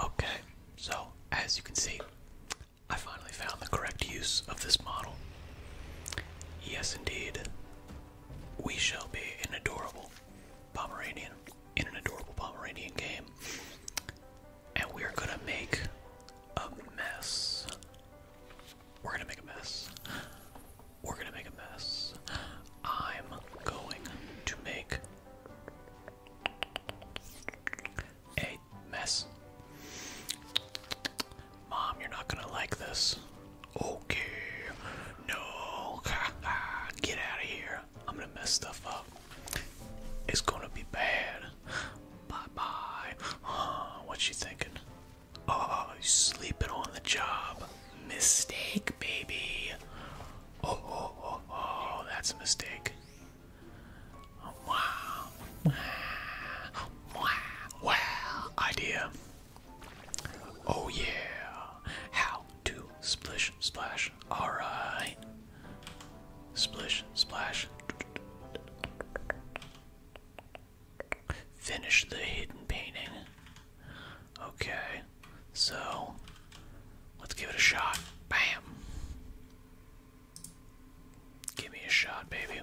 Okay, so as you can see, I finally found the correct use of this model. Yes, indeed, we shall be an adorable Pomeranian in an adorable Pomeranian game. And we're gonna make a mess. We're gonna make a mess. We're gonna make a mess. I'm going to make Hey, mess. Mom, you're not gonna like this. Okay. No. Get out of here. I'm gonna mess stuff up. It's gonna be bad. Bye bye. what's she thinking? Oh, you sleeping on the job. Mistake, baby. Oh, oh, oh, oh, that's a mistake. Wow. Wow. Idea. Oh yeah. How to splish splash. Alright. Splish splash. Finish the hidden painting. Okay. So Let's give it a shot. Bam. Give me a shot, baby.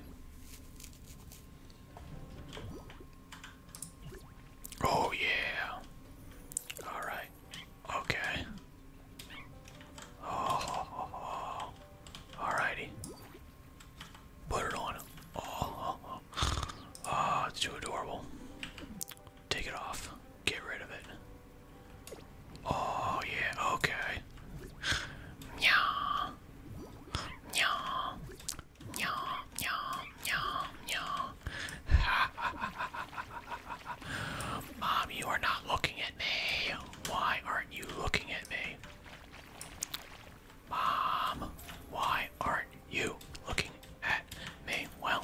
Oh, yeah. Alright. Okay. Oh, oh, Put it on. Oh, ah, it's too adorable. Take it off. Get rid of it. Oh, yeah, okay. Nyah. Nyah. Nyah. Nyah. Nyah. Nyah. Mom, you are not looking at me. Why aren't you looking at me? Mom, why aren't you looking at me? Well,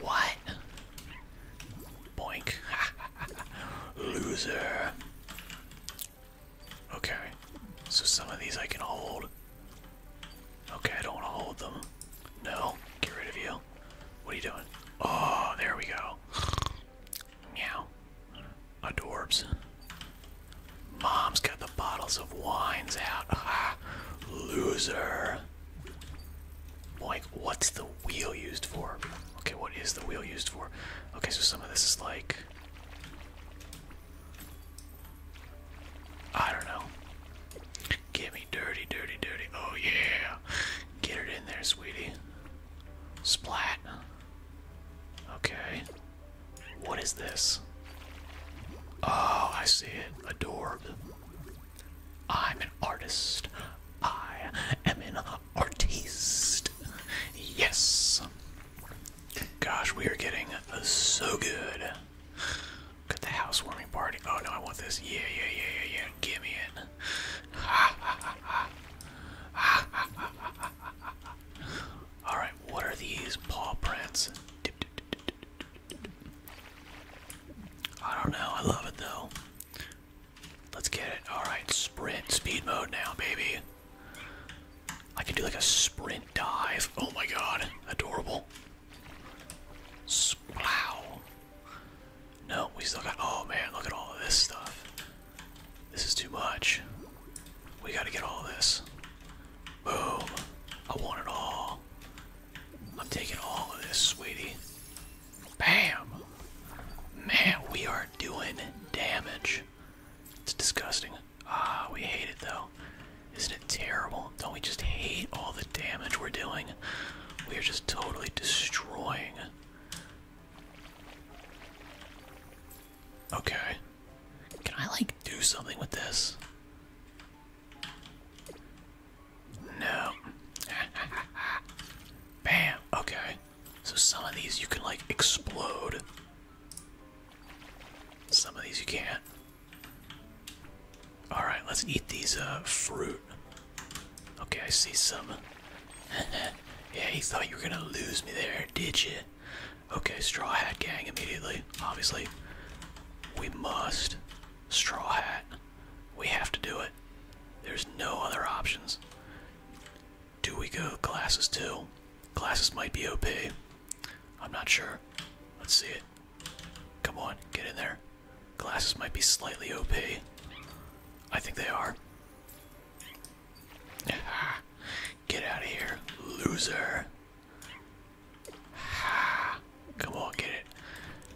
What? Boink. Loser. Okay. So some of these I can hold. Okay, I don't want to hold them. No. Get rid of you. What are you doing? Oh, there we go. Meow. Adorbs. Mom's got the bottles of wines out. loser. Like, what's the wheel used for? Okay, what is the wheel used for? Okay, so some of this is like. I don't know. Get me dirty, dirty, dirty. Oh, yeah. Get it in there, sweetie. Splat. Okay. What is this? Oh, I see it. A door. I'm an artist. I am an artist. Yes. Gosh, we are getting so good. Got the housewarming party. Oh no, I want this. Yeah, yeah, yeah, yeah, yeah. Give me it. Ha ha ha ha. Ha ha ha ha All right, what are these paw prints? I don't know. I love it though. Let's get it. Alright, sprint. Speed mode now, baby. I can do like a sprint dive. Oh my god. Adorable. Splow. No, we still got. Oh man, look at all of this stuff. This is too much. We gotta get all this. Boom. I want it all. I'm taking all of this, sweetie. Bam! Man, we are doing damage. It's disgusting. Ah, we hate it though. Isn't it terrible? Don't we just hate all the damage we're doing? We are just totally destroying. Okay. Can I, like, do something with this? No. Bam. Okay. So some of these you can like explode. Some of these you can't. All right, let's eat these uh, fruit. Okay, I see some. yeah, He thought you were gonna lose me there, did you? Okay, straw hat gang immediately. Obviously, we must straw hat. We have to do it. There's no other options. Do we go glasses too? Glasses might be OP. I'm not sure. Let's see it. Come on, get in there. Glasses might be slightly opaque. I think they are. Get out of here, loser. Ah come on, get it.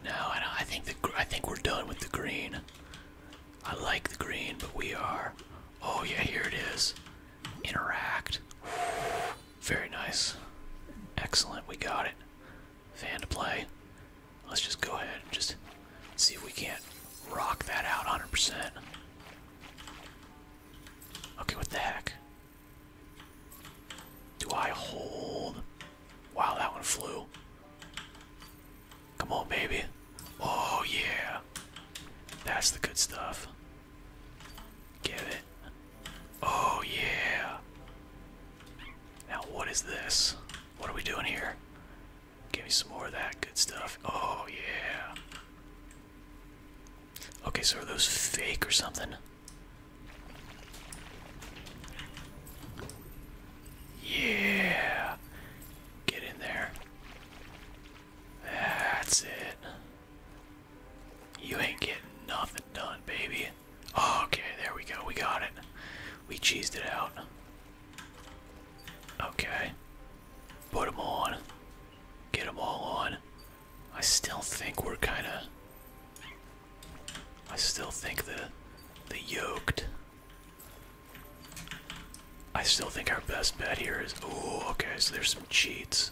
No, I, I think the I think we're done with the green. I like the green, but we are. Oh yeah, here it is. Interact. Very nice. Excellent. We got it. Fan to play. Let's just go ahead and just see if we can't rock that out 100%. Okay, what the heck? Do I hold? Wow, that one flew. Come on, baby. Oh, yeah. That's the good stuff. Get it. Oh, yeah. Now, what is this? What are we doing here? Give me some more of that good stuff. Oh, yeah. Okay, so are those fake or something? Yeah. Get in there. That's it. You ain't getting nothing done, baby. okay, there we go. We got it. We cheesed it out. Okay. Put them on. Get them all on. I still think we're kind of I still think the the yoked. I still think our best bet here is oh okay, so there's some cheats.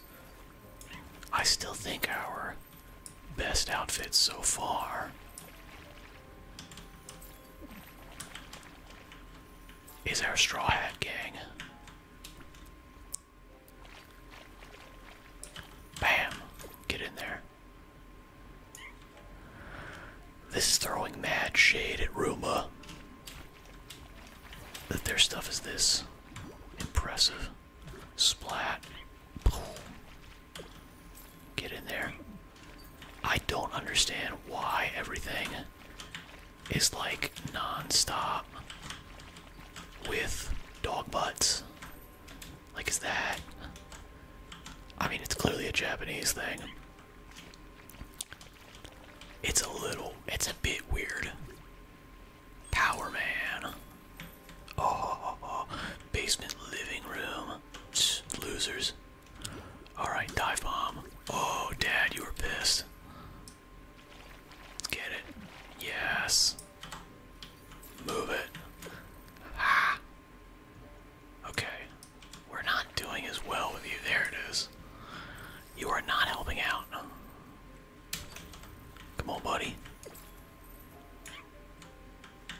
I still think our best outfit so far is our straw hat gang. Bam! Get in there. This is throwing mad shade at Ruma. That their stuff is this impressive. Splat. Get in there. I don't understand why everything is like non-stop with dog butts. Like, is that. I mean, it's clearly a Japanese thing. It's a little. It's a bit weird. Power Man. Oh, basement living room. losers. Alright, dive bomb. Oh, Dad, you were pissed. get it. Yes. Move it. Ah. Okay. We're not doing as well with you. There it is. You are not helping out. Come on, buddy.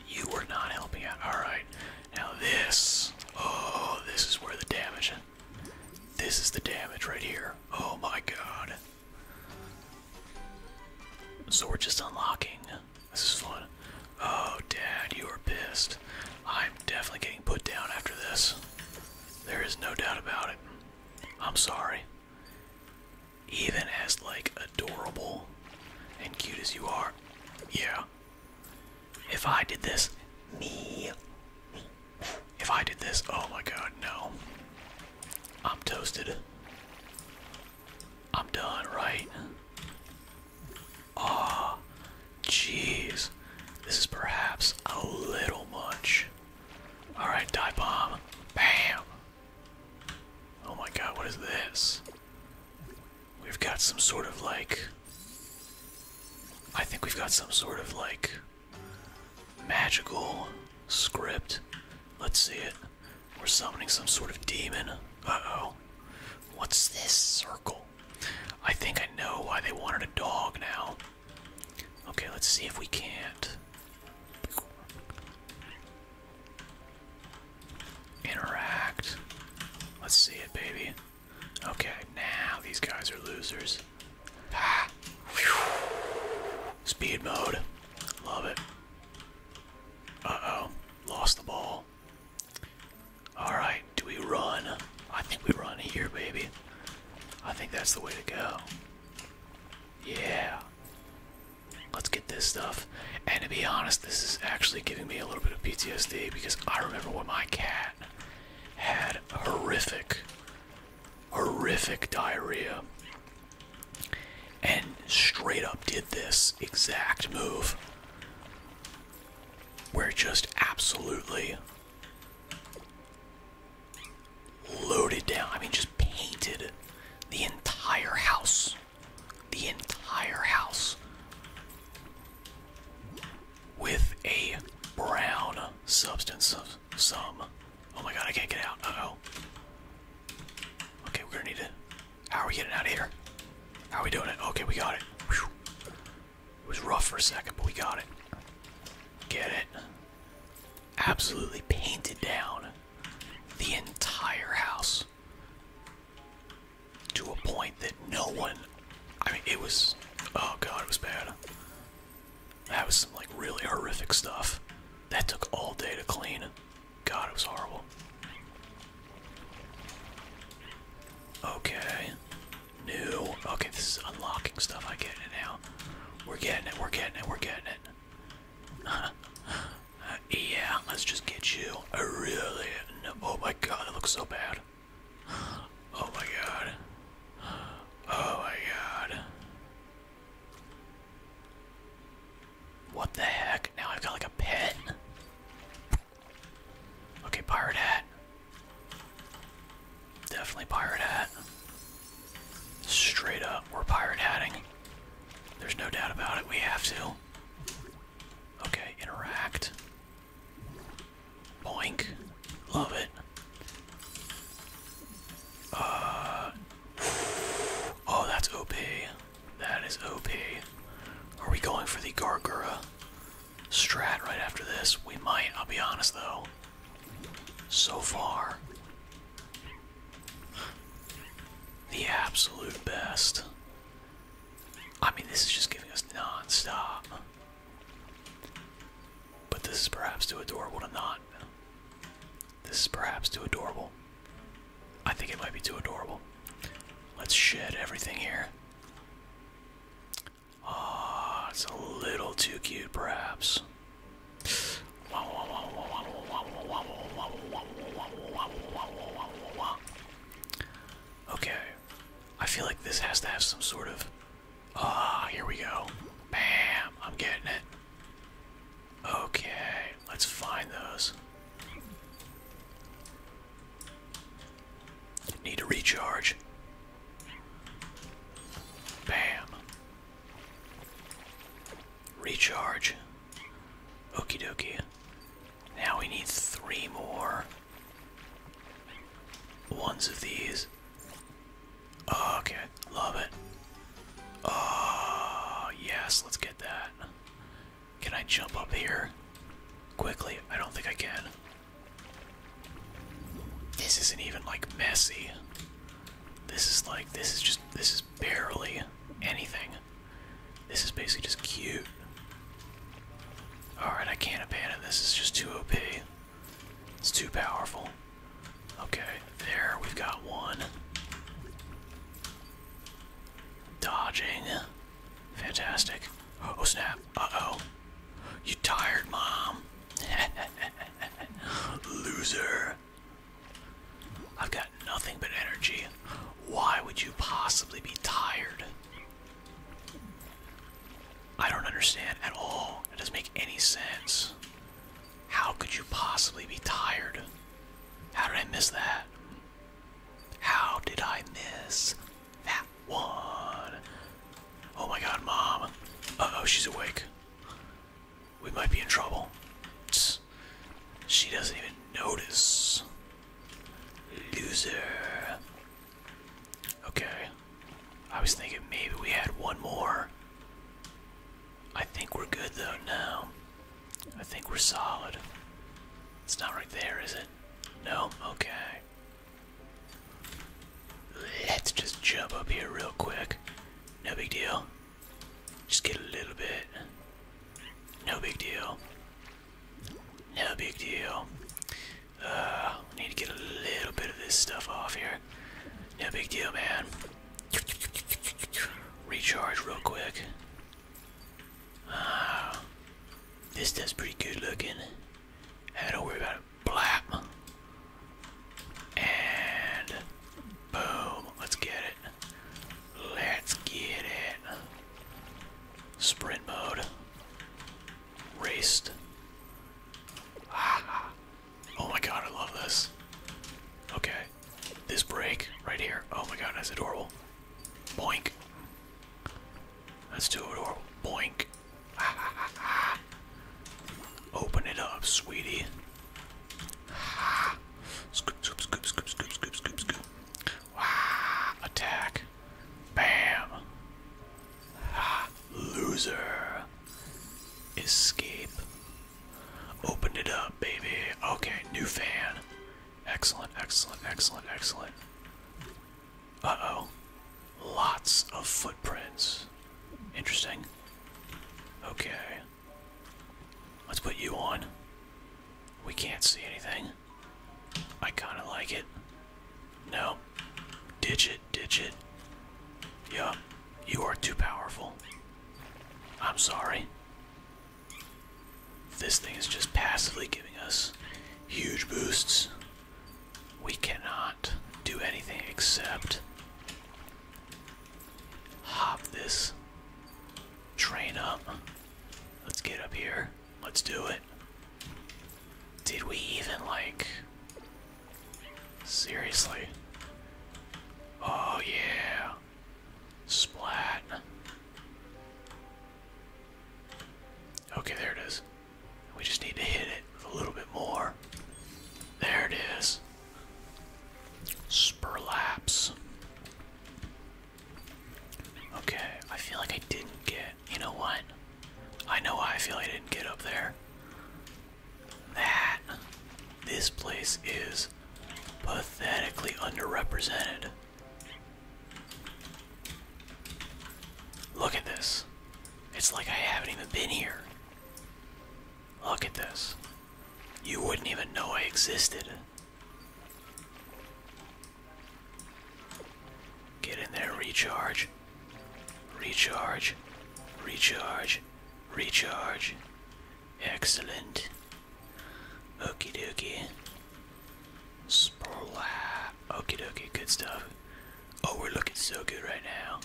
You were not helping out. Alright. Now this. Oh, this is where the damage. This is the damage right here. Oh my god. So we're just unlocking this is fun. Oh, Dad, you are pissed. I'm definitely getting put down after this. There is no doubt about it. I'm sorry. Even as, like, adorable and cute as you are, yeah. If I did this, me. If I did this, oh my god, no. I'm toasted. I'm done, right? Ah, jeez. This is perhaps a little much. Alright, die bomb. Bam! Oh my god, what is this? We've got some sort of like. I think we've got some sort of like. magical script. Let's see it. We're summoning some sort of demon. Uh-oh. What's this circle? I think I know why they wanted a dog now. Okay, let's see if we can't interact. Let's see it, baby. Okay, now these guys are losers. Ah. Speed mode. Love it. Uh-oh. Lost the ball. Alright, do we run? I think we run here, baby. I think that's the way to go. Yeah. Let's get this stuff. And to be honest, this is actually giving me a little bit of PTSD because I remember when my cat had horrific, horrific diarrhea and straight up did this exact move where just absolutely loaded down. I mean, just painted the entire house. The entire house with a brown substance of some. Oh my god, I can't get out. Uh oh. Okay, we're gonna need to how are we getting out of here? How are we doing it? Okay, we got it. It was rough for a second, but we got it. Get it? Absolutely painted down the entire house to a point that no one. I mean, it was. Oh god, it was bad. That was some like really horrific stuff. That took all day to clean. God, it was horrible. Okay. New. Okay, this is unlocking stuff. I get it now. We're getting it. We're getting it. We're getting it. yeah, let's just get you. I really. Oh my god, it looks so bad. Oh my god. Oh my god. What the heck? Now I've got like a pen. Okay, pirate hat. Definitely pirate hat. Straight up, we're pirate hatting. There's no doubt about it, we have to. Okay, interact. Boink. Love it. Uh. Oh, that's OP. That is OP. Are we going for the Gargura strat right after this? We might, I'll be honest though. So far, the absolute best. I mean, this is just giving us non-stop. But this is perhaps too adorable to not. This is perhaps too adorable. I think it might be too adorable. Let's shed everything here. Ah, it's a little too cute, perhaps. Okay, I feel like this has to have some sort of. Ah, here we go. Bam! I'm getting it. Okay, let's find those. Need to recharge. Bam. Recharge. Okie dokie. Now we need three more ones of these. Okay, love it. Oh, yes, let's get that. Can I jump up here quickly? I don't think I can. This isn't even like messy. This is like, this is just, this is barely anything. This is basically just cute. Alright, I can't abandon this. It's just too OP. It's too powerful. Okay, there, we've got one. Dodging. Fantastic. Oh snap. Uh-oh. You tired, Mom. Loser. I've got nothing but energy. Why would you possibly be tired? I don't understand at all. It doesn't make any sense. How could you possibly be tired? How did I miss that? How did I miss that one? Oh my god, mom. Uh oh, she's awake. We might be in trouble. She doesn't even notice. Loser. Okay. I was thinking maybe we had one more. I think we're good though now. I think we're solid. It's not right there, is it? No? Okay. Let's just jump up here real quick. No big deal. Just get a little bit. No big deal. No big deal. Uh, need to get a little bit of this stuff off here. No big deal, man. Recharge real quick. Uh, this stuff's pretty good looking. I don't worry about it. Blap. And boom. Let's get it. Let's get it. Sprint mode. Raced. Ah. Oh my god, I love this. Okay. This break right here. Oh my god, that's adorable. Boink. That's too adorable. Boink. Open it up, sweetie. Scoop, scoop, scoop, scoop, scoop, scoop, scoop, scoop. Attack. Bam. Loser. Escape. Opened it up, baby. Okay, new fan. Excellent, excellent, excellent, excellent. Uh oh. Lots of footprints. Interesting. Okay. Let's put you on. We can't see anything. I kinda like it. No. Digit, digit. Yup. You are too powerful. I'm sorry. This thing is just passively giving us huge boosts. We cannot do anything except hop this train up. Let's get up here. Let's do it. Did we even like. Seriously? Oh, yeah. Splat. Okay, there it is. We just need to hit it a little bit more. There it is. Spurlaps. Okay, I feel like I didn't get. You know what? I know I feel I didn't get up there. That. This place is pathetically underrepresented. Look at this. It's like I haven't even been here. Look at this. You wouldn't even know I existed. Get in there, recharge. Recharge. Recharge. Recharge. Excellent. Okey dokey. Splat. Okie dokie, good stuff. Oh, we're looking so good right now.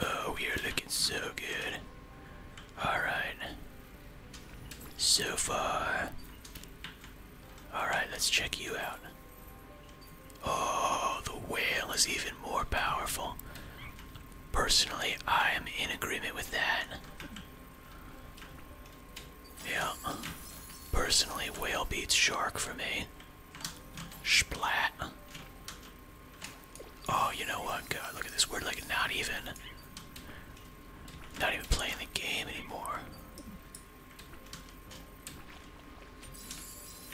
Oh, we are looking so good. Alright. So far. Alright, let's check you out. Oh, the whale is even more powerful. Personally, I am in agreement with that. Yeah. Personally, whale beats shark for me. Splat. Oh, you know what? God, look at this. word. like not even. Not even playing the game anymore.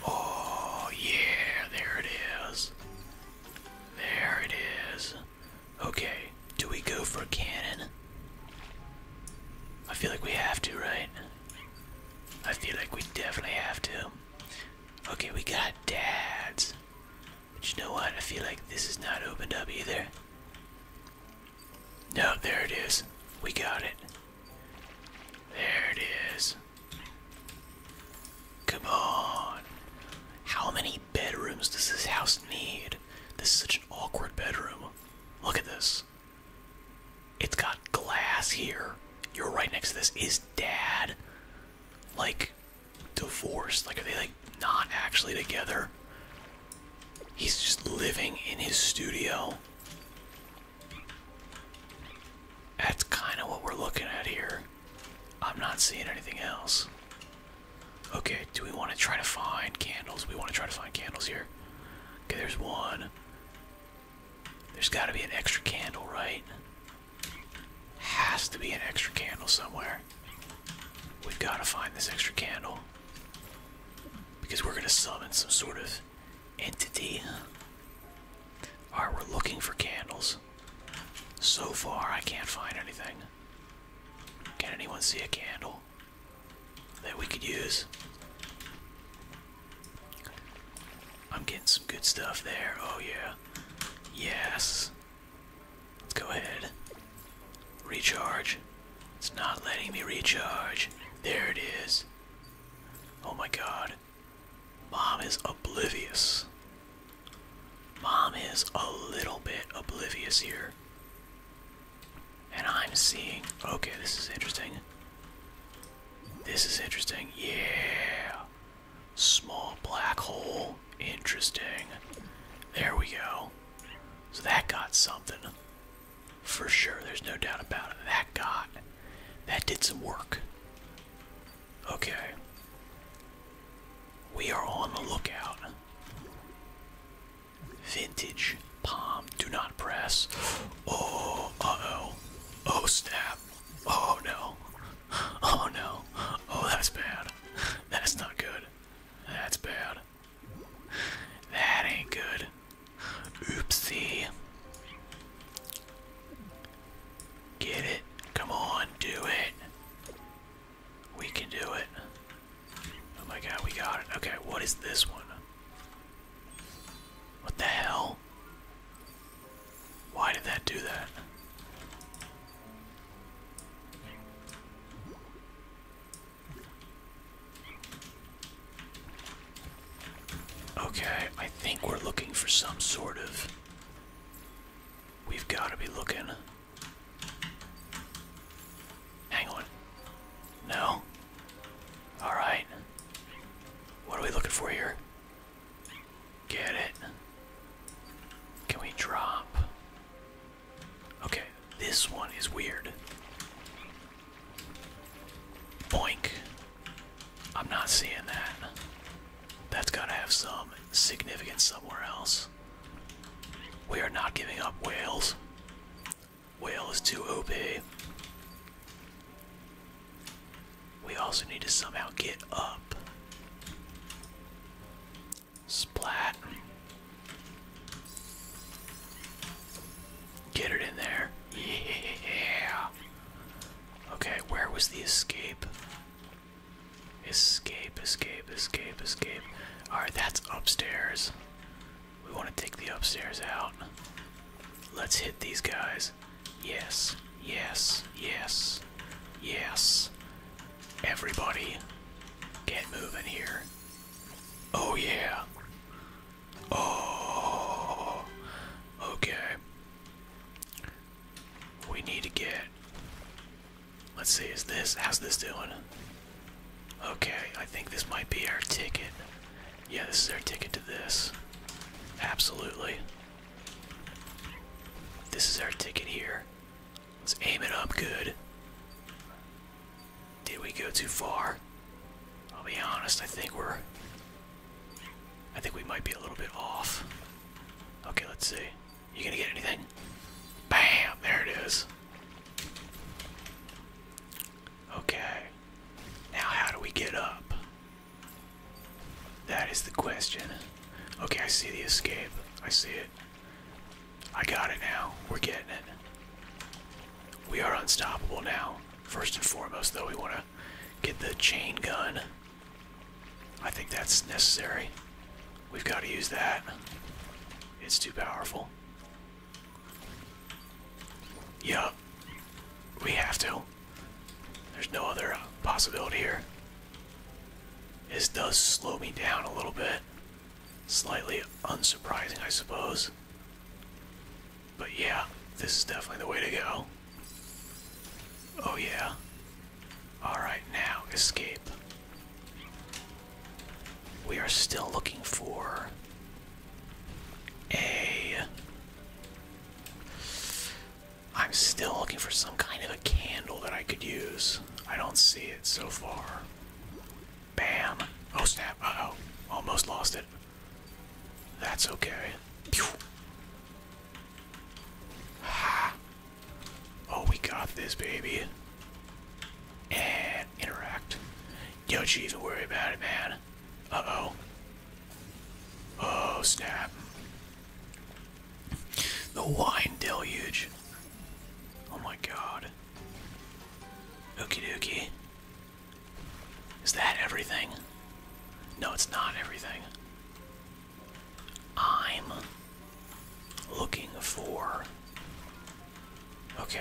Oh, yeah, there it is. There it is. Okay, do we go for cannon? I feel like we have to, right? I feel like we definitely have to. Okay, we got dads. But you know what? I feel like this is not opened up either. No, there it is. We got it. There it is. Come on. How many bedrooms does this house need? This is such an awkward bedroom. Look at this. It's got glass here. You're right next to this. Is dad like divorced? Like, are they like not actually together? He's just living in his studio. That's kind of what we're looking at here. I'm not seeing anything else. Okay, do we want to try to find candles? We want to try to find candles here. Okay, there's one. There's got to be an extra candle, right? Has to be an extra candle somewhere. We've got to find this extra candle. Because we're going to summon some sort of entity. Alright, we're looking for candles. So far, I can't find anything. Can anyone see a candle that we could use? I'm getting some good stuff there. Oh, yeah. Yes. Let's go ahead. Recharge. It's not letting me recharge. There it is. Oh my god. Mom is oblivious. Mom is a little bit oblivious here. And I'm seeing. Okay, this is interesting. This is interesting. Yeah. Small black hole. Interesting. There we go. So that got something. For sure. There's no doubt about it. That got. That did some work. Okay. We are on the lookout. Vintage palm. Do not press. Oh, uh oh. Oh, snap. Oh, no. Oh, no. Oh, that's bad. That's not good. That's bad. That ain't good. Oopsie. Get it. Come on, do it. We can do it. Oh my god, we got it. Okay, what is this one? What the hell? Why did that do that? Okay, I think we're looking for some sort of. We've got to be looking. Hang on. No. All right. What are we looking for here? Get it. Can we drop? Okay, this one is weird. Boink. I'm not seeing that. That's gotta have some significance somewhere else. We are not giving up, whales. Whale is too OP. We also need to somehow get up. Splat. Get it in there. Yeah. Okay, where was the escape? Escape, escape, escape, escape. Alright, that's upstairs. We want to take the upstairs out. Let's hit these guys. Yes, yes, yes, yes. Everybody, get moving here. Oh, yeah. Oh, okay. We need to get Let's see, is this, how's this doing? Okay, I think this might be our ticket. Yeah, this is our ticket to this. Absolutely. This is our ticket here. Let's aim it up good. Did we go too far? I'll be honest, I think we're... I think we might be a little bit off. Okay, let's see. You gonna get anything? Bam! There it is. Okay. Now, how do we get up? That is the question. Okay, I see the escape. I see it. I got it now. We're getting it. We are unstoppable now. First and foremost, though, we want to get the chain gun. I think that's necessary. We've got to use that. It's too powerful. Yup. We have to. There's no other possibility here. This does slow me down a little bit. Slightly unsurprising, I suppose. But yeah, this is definitely the way to go. Oh yeah. Alright, now escape. We are still looking for a. I'm still looking for some kind of a candle that I could use. I don't see it so far. Bam. Oh snap. oh. Almost lost it. That's okay. Oh, we got this, baby. And interact. Don't you even worry about it, man. Uh-oh. Oh, snap. The wine deluge. Oh my god. Okie dokie. Is that everything? No, it's not everything. I'm looking for. Okay.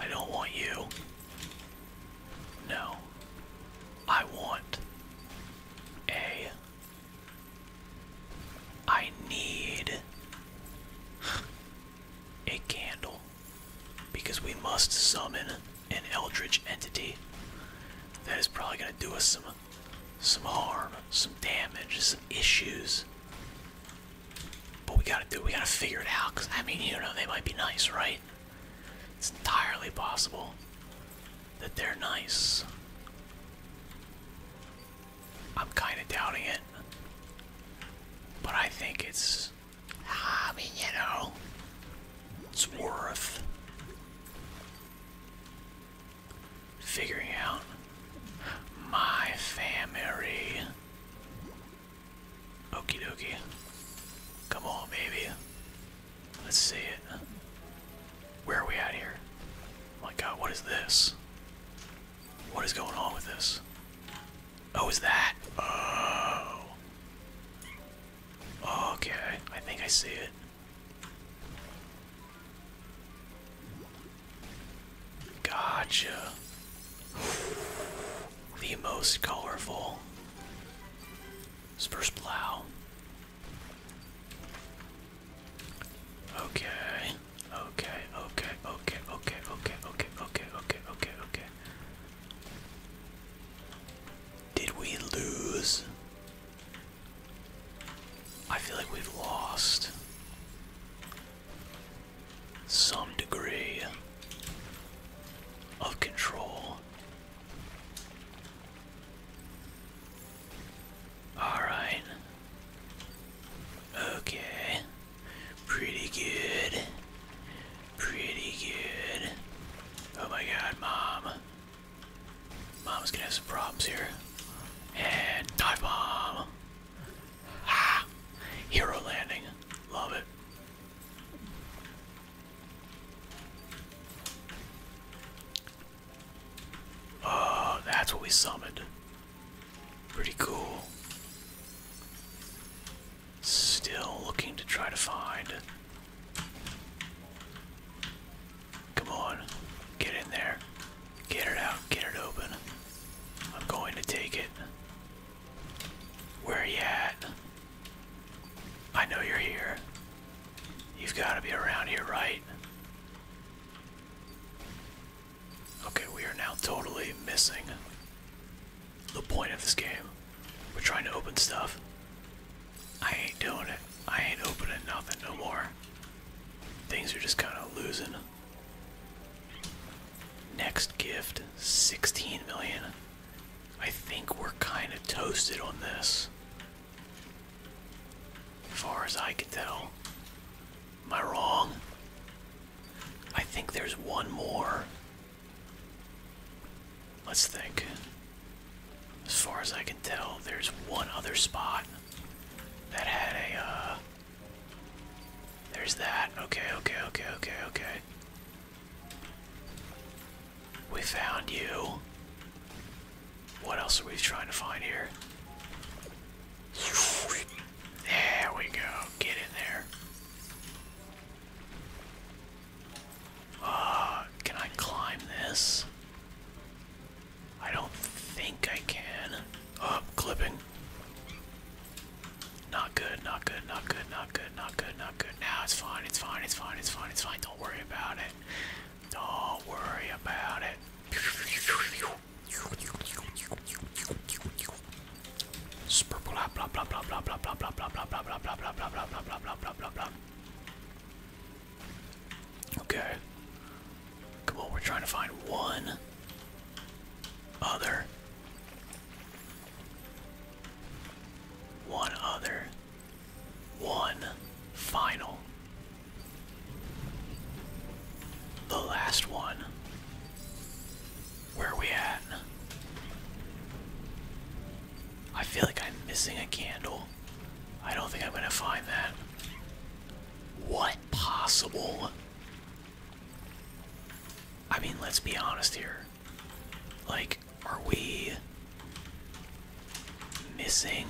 I don't want you. No. I want a. I need a candle because we must summon an eldritch entity. That is probably going to do us some some harm, some damage, some issues. But we gotta do, we gotta figure it out, because I mean, you know, they might be nice, right? It's entirely possible that they're nice. I'm kind of doubting it. But I think it's. I mean, you know. It's worth figuring out my family. Okey-dokey. Come on, baby. Let's see it. Where are we at here? Oh my god, what is this? What is going on with this? Oh, is that? Oh. Okay, I think I see it. Gotcha. The most colorful. Spurs plow. Okay. Okay. Okay. Okay. Okay. Okay. Okay. Okay. Okay. Okay. Okay. Did we lose? I feel like we've lost some degree of control. Alright. Okay. Pretty good. Pretty good. Oh my god, mom. Mom's gonna have some problems here. And dive bomb. Ah, hero landing. Love it. Oh, that's what we summoned. Pretty cool. Still looking to try to find Come on. Get in there. Get it out. Get it open. I'm going to take it. Where are you at? I know you're here. You've got to be around here, right? Okay, we are now totally missing the point of this game. We're trying to open stuff. I ain't doing it. I ain't opening nothing no more. Things are just kind of losing. Next gift, 16 million. I think we're kind of toasted on this. Far as I can tell. Am I wrong? I think there's one more. Let's think. As far as I can tell, there's one other spot that had a, uh. There's that. Okay, okay, okay, okay, okay. We found you. What else are we trying to find here? There we go. Get in there. Uh, can I climb this? I don't think I can. Oh, clipping. Not good, not good, not good, not good, not good, not good. Now it's fine, it's fine, it's fine, it's fine, it's fine. Don't worry about it. Don't worry about it. Blah blah blah blah blah blah blah blah blah blah blah blah blah blah blah blah blah blah Okay. Come on, we're trying to find one other. One other. One final. The last one. Where are we at? I feel like I'm missing a candle. I don't think I'm gonna find that. What possible? I mean, let's be honest here. Like, are we missing?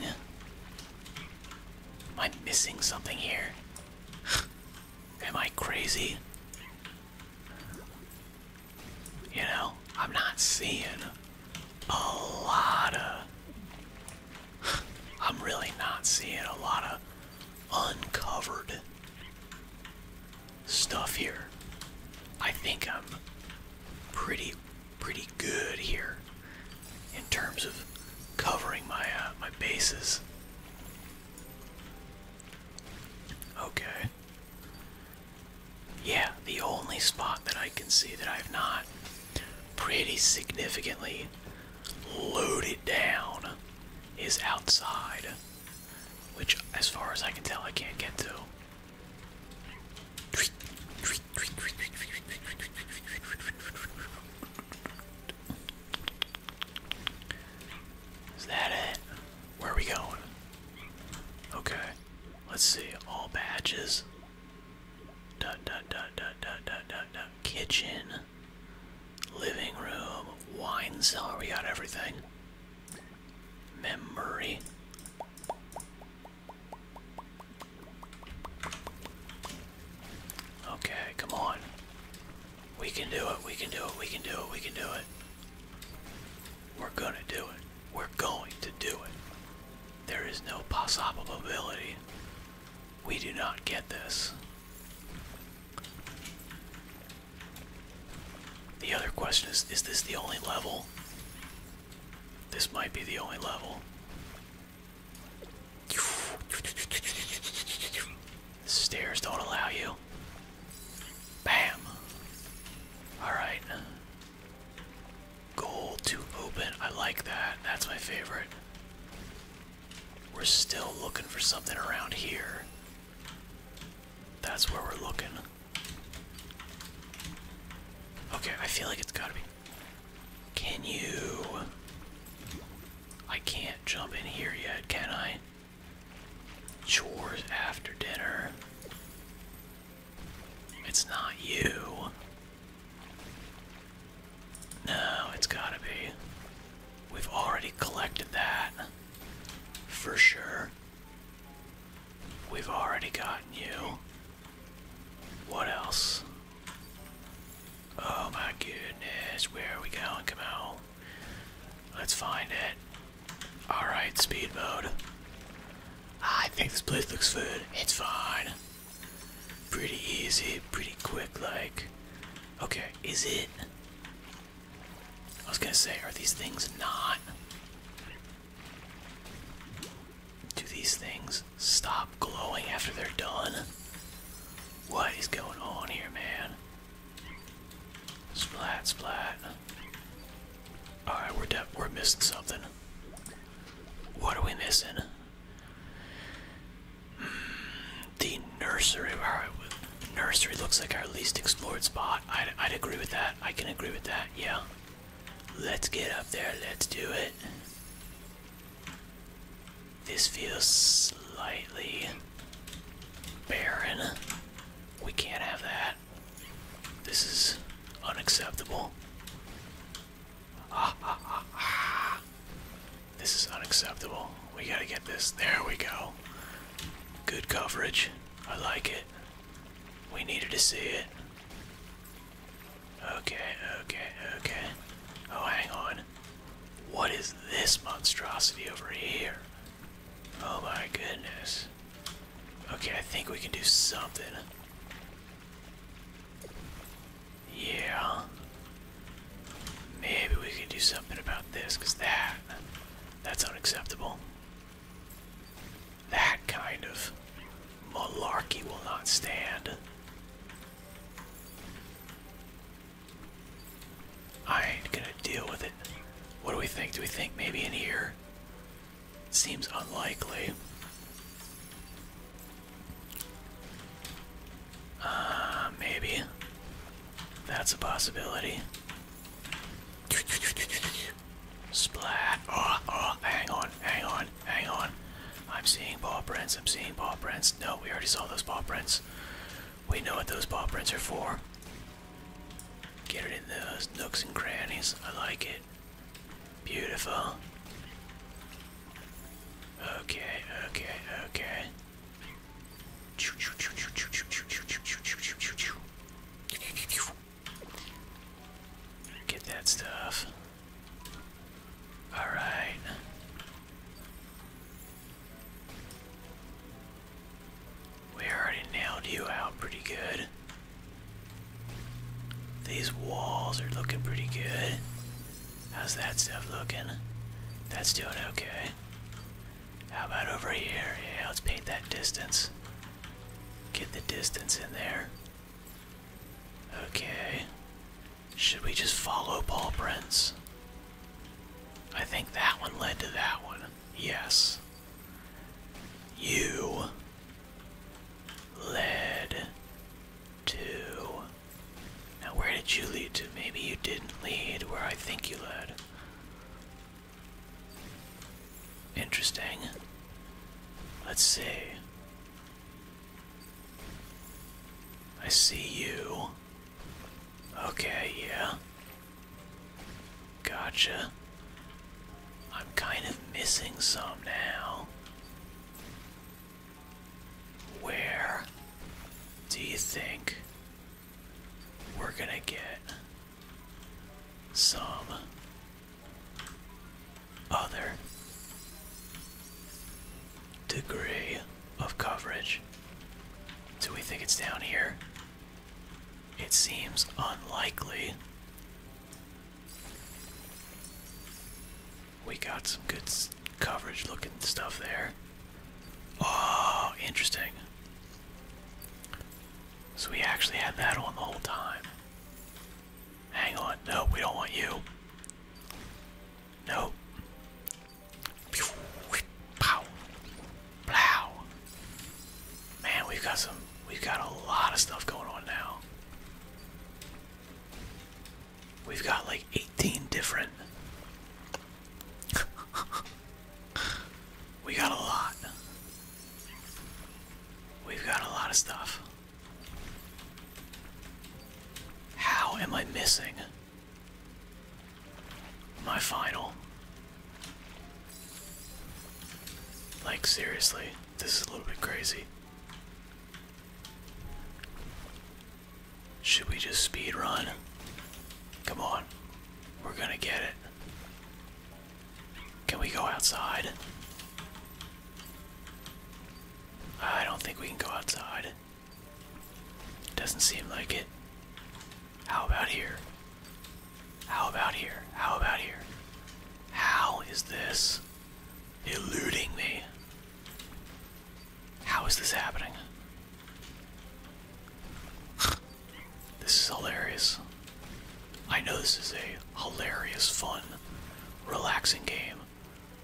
Am I missing something here? Am I crazy? You know, I'm not seeing a lot of. I'm really not seeing a lot of uncovered stuff here. I think I'm pretty, pretty good here in terms of covering my uh, my bases. Okay. Yeah, the only spot that I can see that I've not pretty significantly loaded down is outside, which, as far as I can tell, I can't get to. Is that it? Where are we going? Okay, let's see. All badges dot dot dot dot dot dot dot dot kitchen living room wine cellar we got everything memory okay come on we can do it we can do it we can do it we can do it we're gonna do it we're going to do it there is no possible ability. We do not get this. The other question is is this the only level? This might be the only level. The stairs don't allow you. Bam! Alright. Gold to open. I like that. That's my favorite. We're still looking for something around here. That's where we're looking. Okay, I feel like it's gotta be. Can you. I can't jump in here yet, can I? Chores after dinner. It's not you. No, it's gotta be. We've already collected that. For sure. We've already gotten you. What else? Oh my goodness, where are we going, Kamal? Let's find it. Alright, speed mode. I think this place looks good. It's fine. Pretty easy, pretty quick, like. Okay, is it. I was gonna say, are these things not. Do these things stop glowing after they're done? What is going on here, man? Splat, splat. All right, we're de we're missing something. What are we missing? The nursery, nursery looks like our least explored spot. I'd, I'd agree with that. I can agree with that. Yeah. Let's get up there. Let's do it. This feels slightly barren. We can't have that. This is unacceptable. This is unacceptable. We gotta get this. There we go. Good coverage. I like it. We needed to see it. Okay, okay, okay. Oh, hang on. What is this monstrosity over here? Oh my goodness. Okay, I think we can do something. Yeah. Maybe we can do something about this, because that, that's unacceptable. That kind of malarkey will not stand. I ain't gonna deal with it. What do we think? Do we think maybe in here? Seems unlikely. Uh, maybe. That's a possibility. Splat. Oh, oh, hang on, hang on, hang on. I'm seeing paw prints, I'm seeing paw prints. No, we already saw those paw prints. We know what those paw prints are for. Get it in those nooks and crannies. I like it. Beautiful. Okay, okay, okay. Get that stuff. Alright. We already nailed you out pretty good. These walls are looking pretty good. How's that stuff looking? That's doing okay. How about over here? Yeah, let's paint that distance. Get the distance in there. Okay. Should we just follow Paul Prince? I think that one led to that one. Yes. You led two. Now, where did you lead to? Maybe you didn't lead where I think you led. Interesting. Let's see. I see you. Okay, yeah. Gotcha. I'm kind of missing some now. Where do you think we're gonna get some other degree of coverage? Do we think it's down here? It seems unlikely we got some good coverage looking stuff there. Oh, interesting. So we actually had that on the whole time. Hang on. No, we don't want you. No. Pow. Plow. Man, we've got some. We've got a lot of stuff going on now. We've got like 18 different. we got a lot. We've got a lot of stuff. How am I missing my final? Like, seriously, this is a little bit crazy. Should we just speed run? Come on. We're gonna get it. Can we go outside? I don't think we can go outside. Doesn't seem like it. How about here? How about here? How about here? How is this? eluding me. How is this happening? This is hilarious. I know this is a hilarious, fun, relaxing game,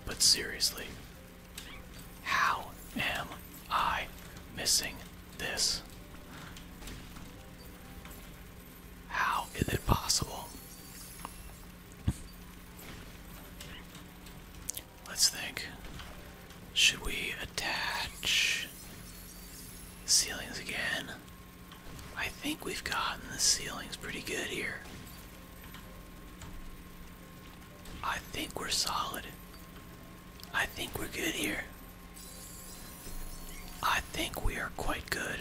but seriously, how am I missing this? How is it possible? Let's think. Should we attach ceilings again? I think we've gotten the ceilings pretty good here. I think we're solid. I think we're good here. I think we are quite good.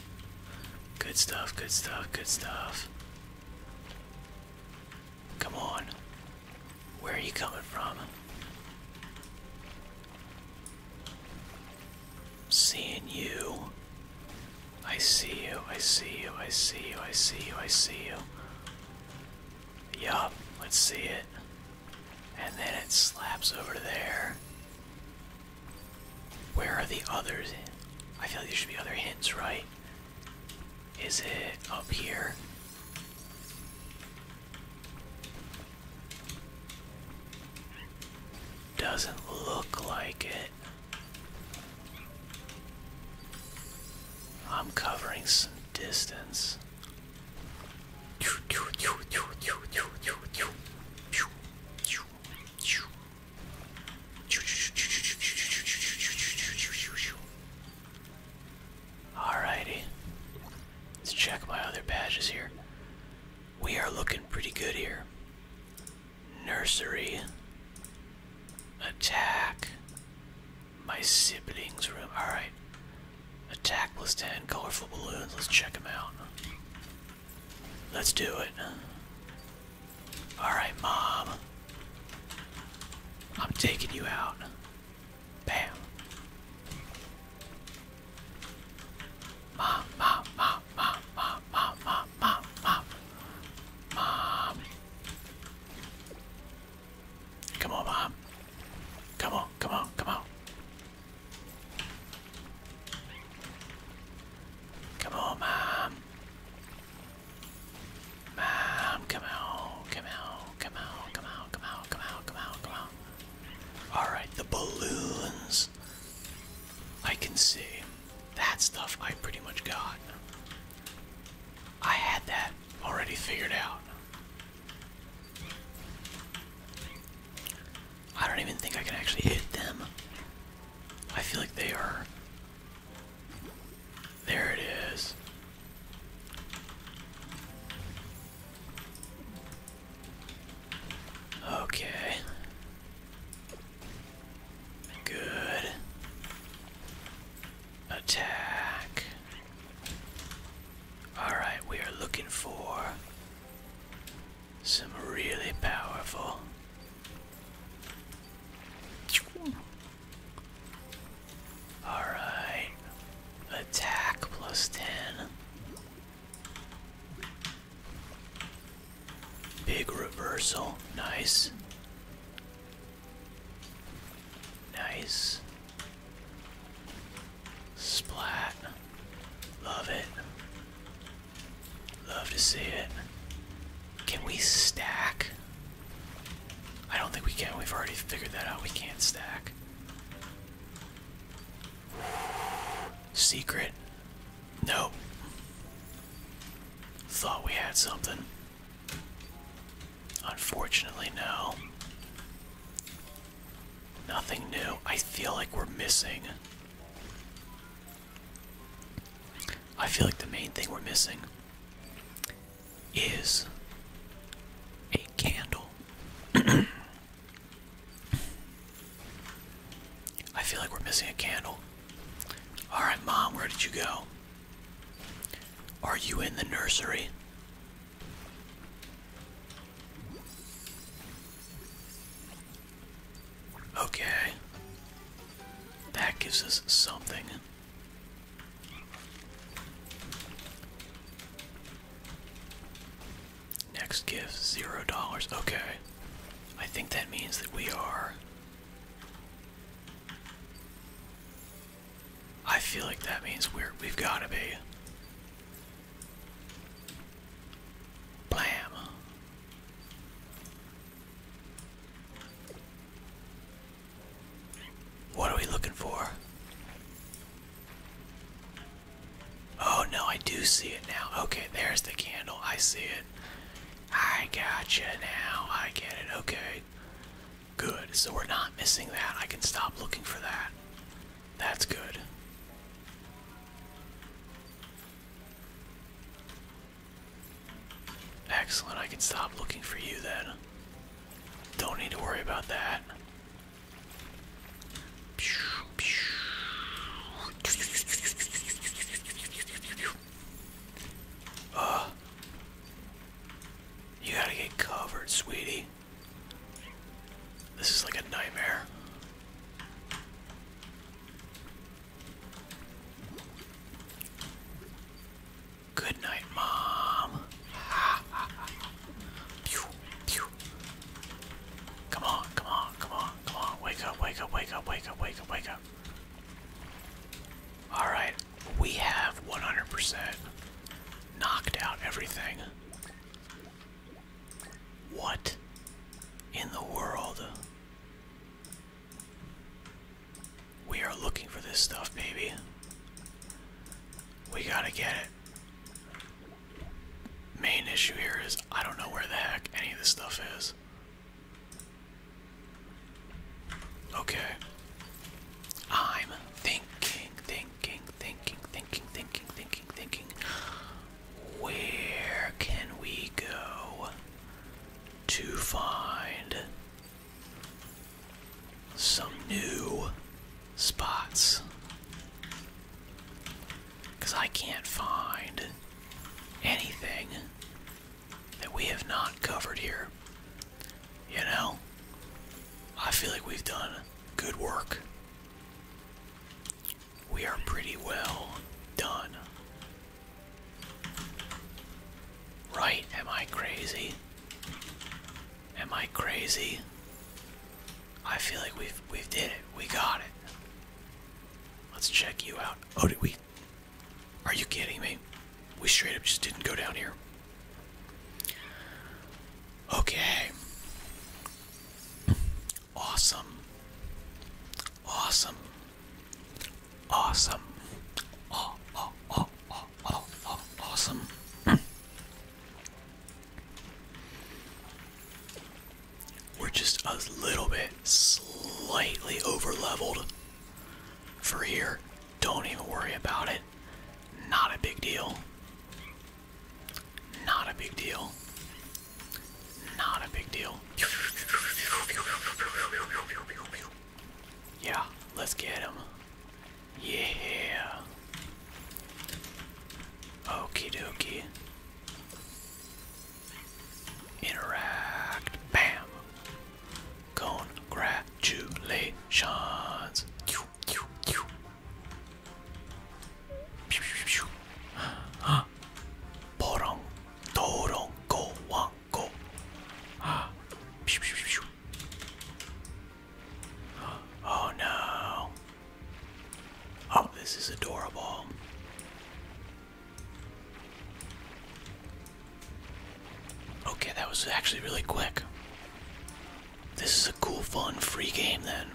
Good stuff, good stuff, good stuff. Come on. Where are you coming from? I'm seeing you. I see you, I see you, I see you, I see you, I see you. Yup, let's see it. And then it slaps over there. Where are the others? I feel like there should be other hints, right? Is it up here? Doesn't look like it. I'm covering some distance. Alrighty. Let's check my other badges here. We are looking pretty good here. Nursery. Attack. My siblings' room. Alright. Attack plus 10. Colorful balloons. Let's check them out. Let's do it. Alright, Mom. I'm taking you out. Bam. Mom, mom, mom, mom, mom, mom, mom, mom, mom. Come on, Mom. Come on, come on, come on. Come on, mom. Mom, come out, come out, come out, come out, come out, come out, come out, come out. Alright, the balloons. I can see. That stuff I pretty much got. I had that already figured out. I don't even think I can actually hit them. I feel like they are. There it is. Okay. Good. Attack. Alright, we are looking for some really powerful. Alright. Attack plus 10. Big reversal. Nice. Nice. Splat. Love it. Love to see it. Can we stack? I don't think we can. We've already figured that out. We can't stack. Secret. Nope. Thought we had something. Unfortunately, no. Nothing new. I feel like we're missing. I feel like the main thing we're missing is a candle. I feel like we're missing a candle. Alright, Mom, where did you go? Are you in the nursery? Okay. That gives us something. Next gift, zero dollars. Okay. I think that means that we are. I feel like that means we're we've gotta be Blam. What are we looking for? Oh no, I do see it now. Okay, there's the candle. I see it. I gotcha now. I get it. Okay. Good. So we're not missing that. I can stop looking for that. That's good. Excellent, I can stop looking for you then. Don't need to worry about that. Uh, you gotta get covered, sweetie. This is like a nightmare. Good night, Mom. Come on, come on, come on, come on. Wake up, wake up, wake up, wake up, wake up, wake up. Alright, we have 100% knocked out everything. What in the world? We are looking for this stuff, baby. We gotta get it. Main issue here is I don't know where the heck any of this stuff is. Okay. I'm thinking, thinking, thinking, thinking, thinking, thinking, thinking. Where can we go to find some new spots? Because I can't find anything that we have not covered here. You know? I feel like we've done good work we are pretty well done. Right? Am I crazy? Am I crazy? I feel like we've we've did it. We got it. Let's check you out. Oh, did we? Are you kidding me? We straight up just didn't go down here. Okay. Awesome. Awesome. Awesome. Oh, oh, oh, oh, oh, awesome. We're just a little bit slightly over leveled for here. Don't even worry about it. Not a big deal. Not a big deal. Not a big deal. Yeah, let's get him. Yeah. Okie dokie. Interact. Bam. Congratulations. Porong, Torong, Go, Wang, Oh no. Oh, this is adorable. Okay, that was actually really quick. This is a cool, fun, free game then.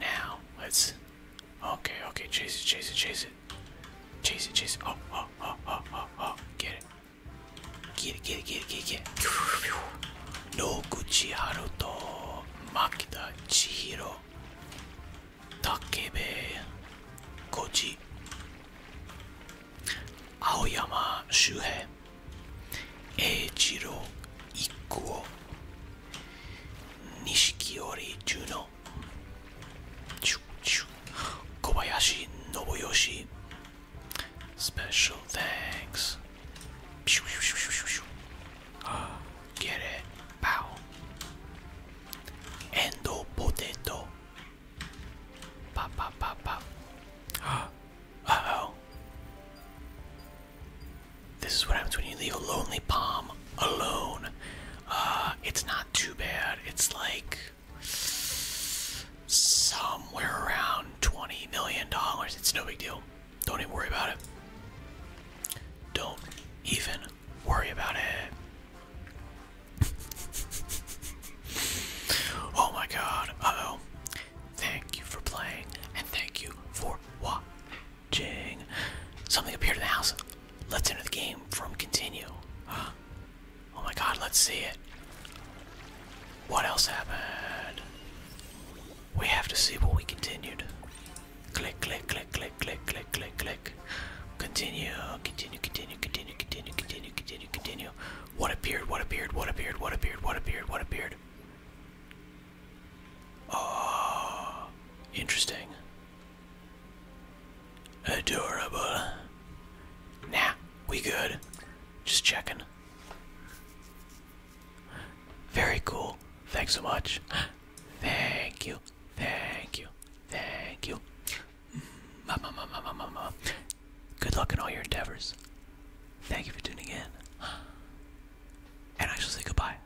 Now let's Okay, okay, chase it, chase it, chase it. Chase it, chase it. Oh, oh, oh, oh, oh, oh. Get it. Get it, get it, get it, get it, get it. Noguchi Haruto, Makita Chihiro, Takebe, Koji, Aoyama Shuhei, Eiichiro Ikuo, Nishikiyori Juno, よ Kobayashi Nobuyoshi Special thanks ah, Get it Pow Endo potato Pop pop pop pop ah, Uh oh this is what happens when you leave a lonely palm alone. Uh, it's not too bad. It's like somewhere around $20 million. It's no big deal. Don't even worry about it. Don't even worry about it. oh my god. oh. Thank you for playing and thank you for watching. Jing. Something appeared in the house. Let's enter the game from continue. Huh. Oh my god, let's see it. What else happened? We have to see what we continued. Click, click, click, click, click, click, click, click. Continue, continue, continue, continue, continue, continue, continue, continue. What appeared, what appeared, what appeared, what appeared, what appeared, what appeared? Oh, interesting. Adorable. Nah, we good. Just checking. Very cool. Thanks so much. Thank you. Thank you. Thank you. Mama, mm, Good luck in all your endeavors. Thank you for tuning in. And I shall say goodbye.